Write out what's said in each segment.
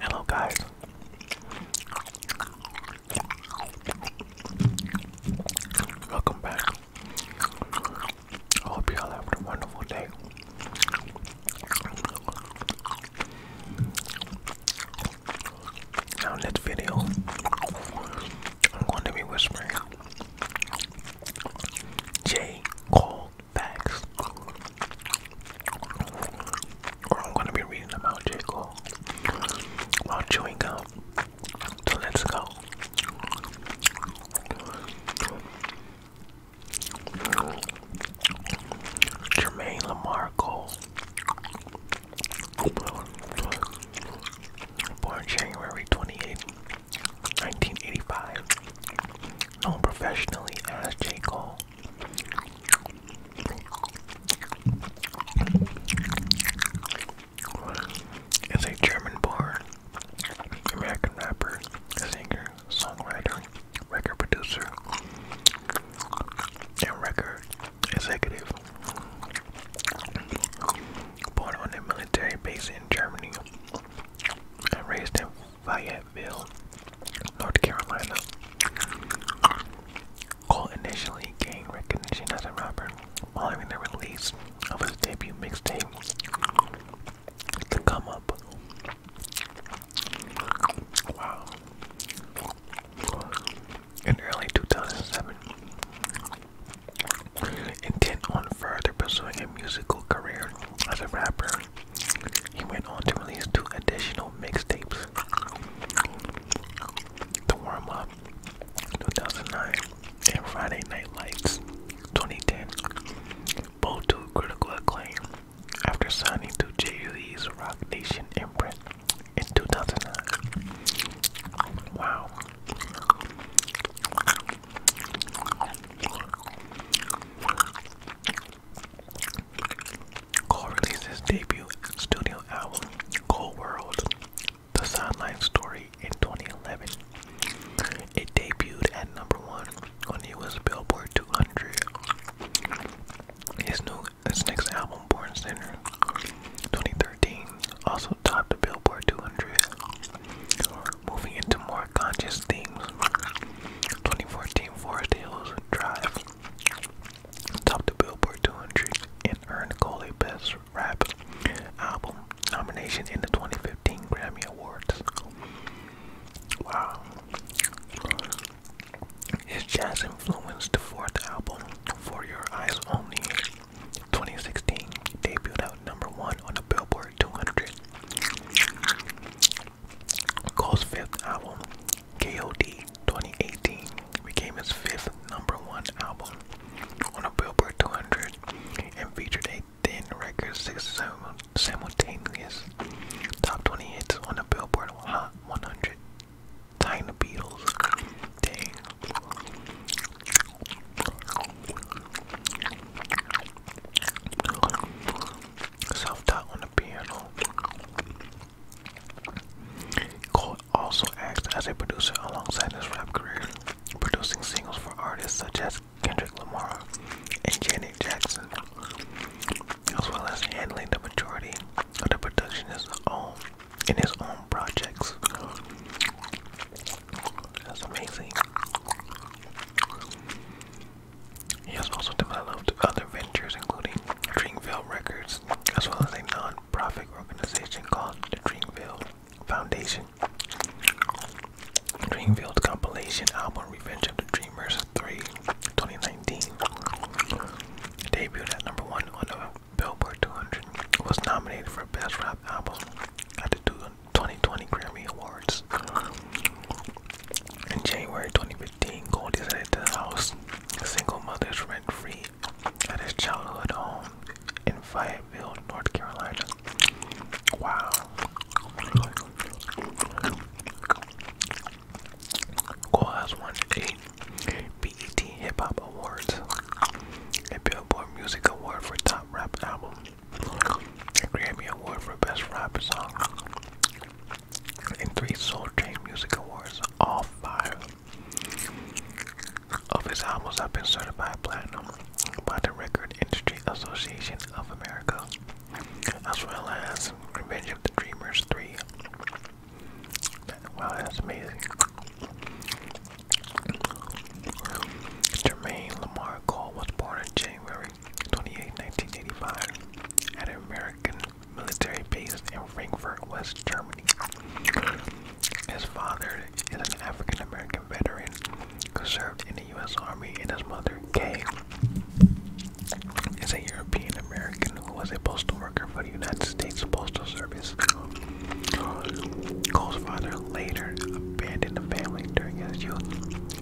Hello, guys. Welcome back. I hope you all have a wonderful day. Now, in this video, I'm going to be whispering. J. Cole facts. I'm gonna be reading about J. Cole while chewing gum. So let's go. Jermaine Lamar Cole. Born January 28, 1985. Known professionally as J. Cole. Is a German-born American rapper, singer, songwriter, record producer, and record executive. Born on a military base in Germany and raised in Fayetteville, North Carolina. Cole initially gained recognition as a rapper while following the release of his debut mixtape, The Come Up. In early 2007, Intent on further pursuing a musical career as a rapper, he went on to release two additional mixtapes. The Warm Up 2009 and Friday Night Lights 2010, both to critical acclaim after signing to Jay-Z's Rock Nation imprint in 2009. Wow. Cole released his debut studio album, Cole World, The Sideline Story, in 2011. It debuted at number one on the US Billboard 200. His, new, his next album, Born Center 2013 also topped the Billboard 200. Moving into more conscious themes, 2014 Forest Hills Drive topped the Billboard 200 and earned Cole Best Rap Album nomination in the 2015 Grammy Awards. Wow. His jazz influenced fourth album, For Your Eyes Only, 2016 debuted out number one on the Billboard 200. Cole's fifth album, KOD 2018, became his fifth number one album on the Billboard 200 and featured a thin record six simultaneous top 20 hits on the Billboard Hot 100 Tiny Beatles. Dang. Self taught on the piano. Cole also acts as a producer alongside his rap career, producing singles for artists such as Kendrick Lamar and Janet Jackson, as well as handling the majority of the production his own in his own projects. That's amazing. He has also developed other ventures, including Dreamville Records, as well as a non-profit organization called the Dreamville Foundation. Dreamville's compilation album Revenge of the Dreamers 3 2019 debuted at number one on the Billboard 200 was nominated for Best Rap Album at the 2020 Grammy Awards. In January 2015, Goldie decided to house single mothers rent free at his childhood home in Fayetteville, North Carolina. Wow. Cole has one eight BET Hip Hop Awards, a Billboard Music Award for Top Rap Album, a Grammy Award for Best Rap Song, and three Soul Train Music Awards. All five of his albums have been certified platinum by the Record Industry Association of America, as well as Revenge of the Dreamers 3, Wow, that's amazing. Jermaine Lamar Cole was born in January 28, 1985, at an American military base in Frankfurt, West Germany. His father is an African American veteran who served in the U.S. Army, and his mother, Kay, is a European American who was a postal worker for the United States Postal Service. Cole's father later abandoned the family during his youth.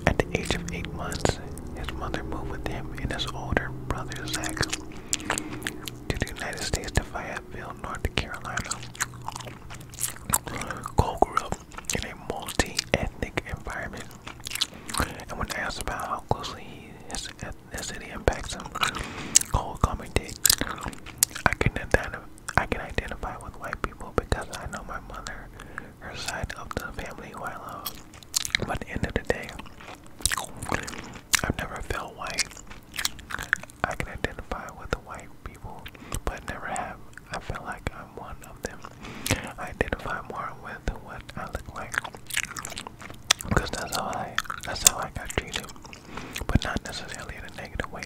At the age of eight months, his mother moved with him and his older brother Zach to the United States to Fayetteville, North Carolina. Cole grew up in a multi-ethnic environment, and when asked about how closely he his ethnicity impacts them. Cole commented, I can, I can identify with white people because I know my mother, her side of the family who I love. But end of the day, I've never felt white. I can identify with the white people, but never have. I feel like I'm one of them. I identify more with what I look like. Because that's how I that's how I got treated. But not necessarily in a negative way.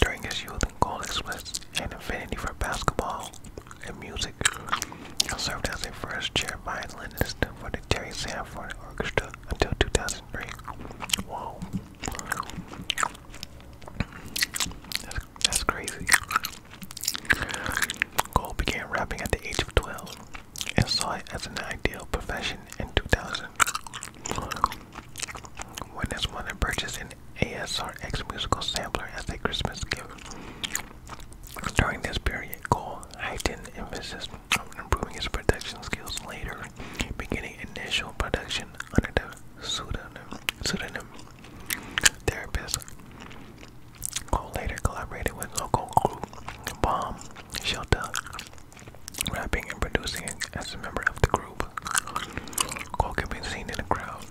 During his youth and goal expressed an affinity for basketball and music. He served as a first chair violinist for the Terry Sanford Orchestra until 2003. Whoa. that's crazy. Cole began rapping at the age of 12 and saw it as an ideal profession in 2000. When his mother purchased an ASR X musical sampler as a Christmas gift. During this period, Cole heightened emphasis on improving his production skills later, beginning initial production under the pseudonym therapist who later collaborated with local group Bomb Shelter, rapping and producing as a member of the group. Cole can be seen in the crowd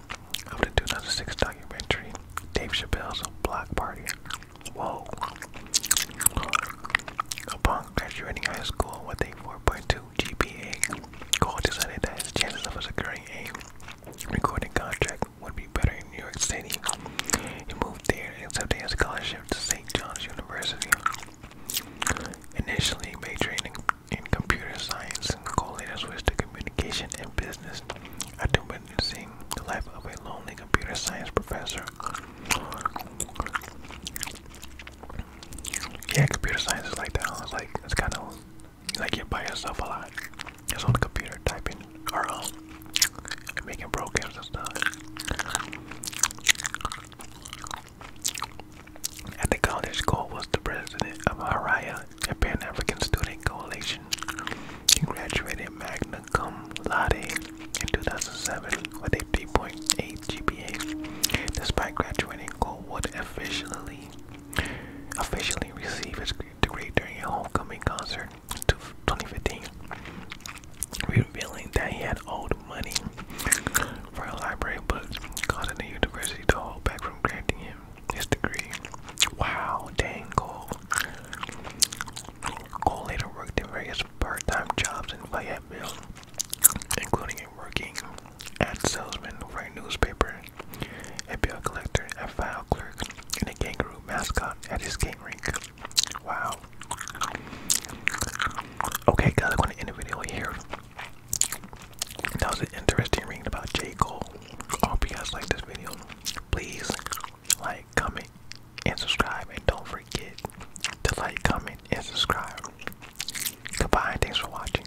of the 2006 documentary Dave Chappelle's Block Party. Whoa! Upon graduating high school with a 4.2 GPA, Cole decided that his chances of securing a recording contract would be better in New York City. He moved there and accepted a scholarship to St. John's University. Initially majoring in, in computer science, Cole later switched to communication and business I after witnessing the life of a lonely computer science professor. Yeah, computer science is like that. It's like it's kind of like you're by yourself a lot. Just on the computer typing or um, making programs and stuff. At the college, Cole was the president of Haraya, a Pan African Student Coalition. He graduated magna cum laude in 2007 with a 3.8 GPA. Despite graduating, Cole would officially officially receive his degree during a homecoming concert to 2015, revealing that he had owed money for a library book, causing the university to hold back from granting him his degree. Wow, dang Cole. Cole later worked in various part-time jobs in Fayetteville, including working as salesman for a newspaper, a bill collector, and clerk and a kangaroo mascot at his skate rink. Wow. Okay, guys, I'm going to end the video here. That was an interesting reading about J. Cole. I hope you guys liked this video. Please like, comment, and subscribe. And don't forget to like, comment, and subscribe. Goodbye, thanks for watching.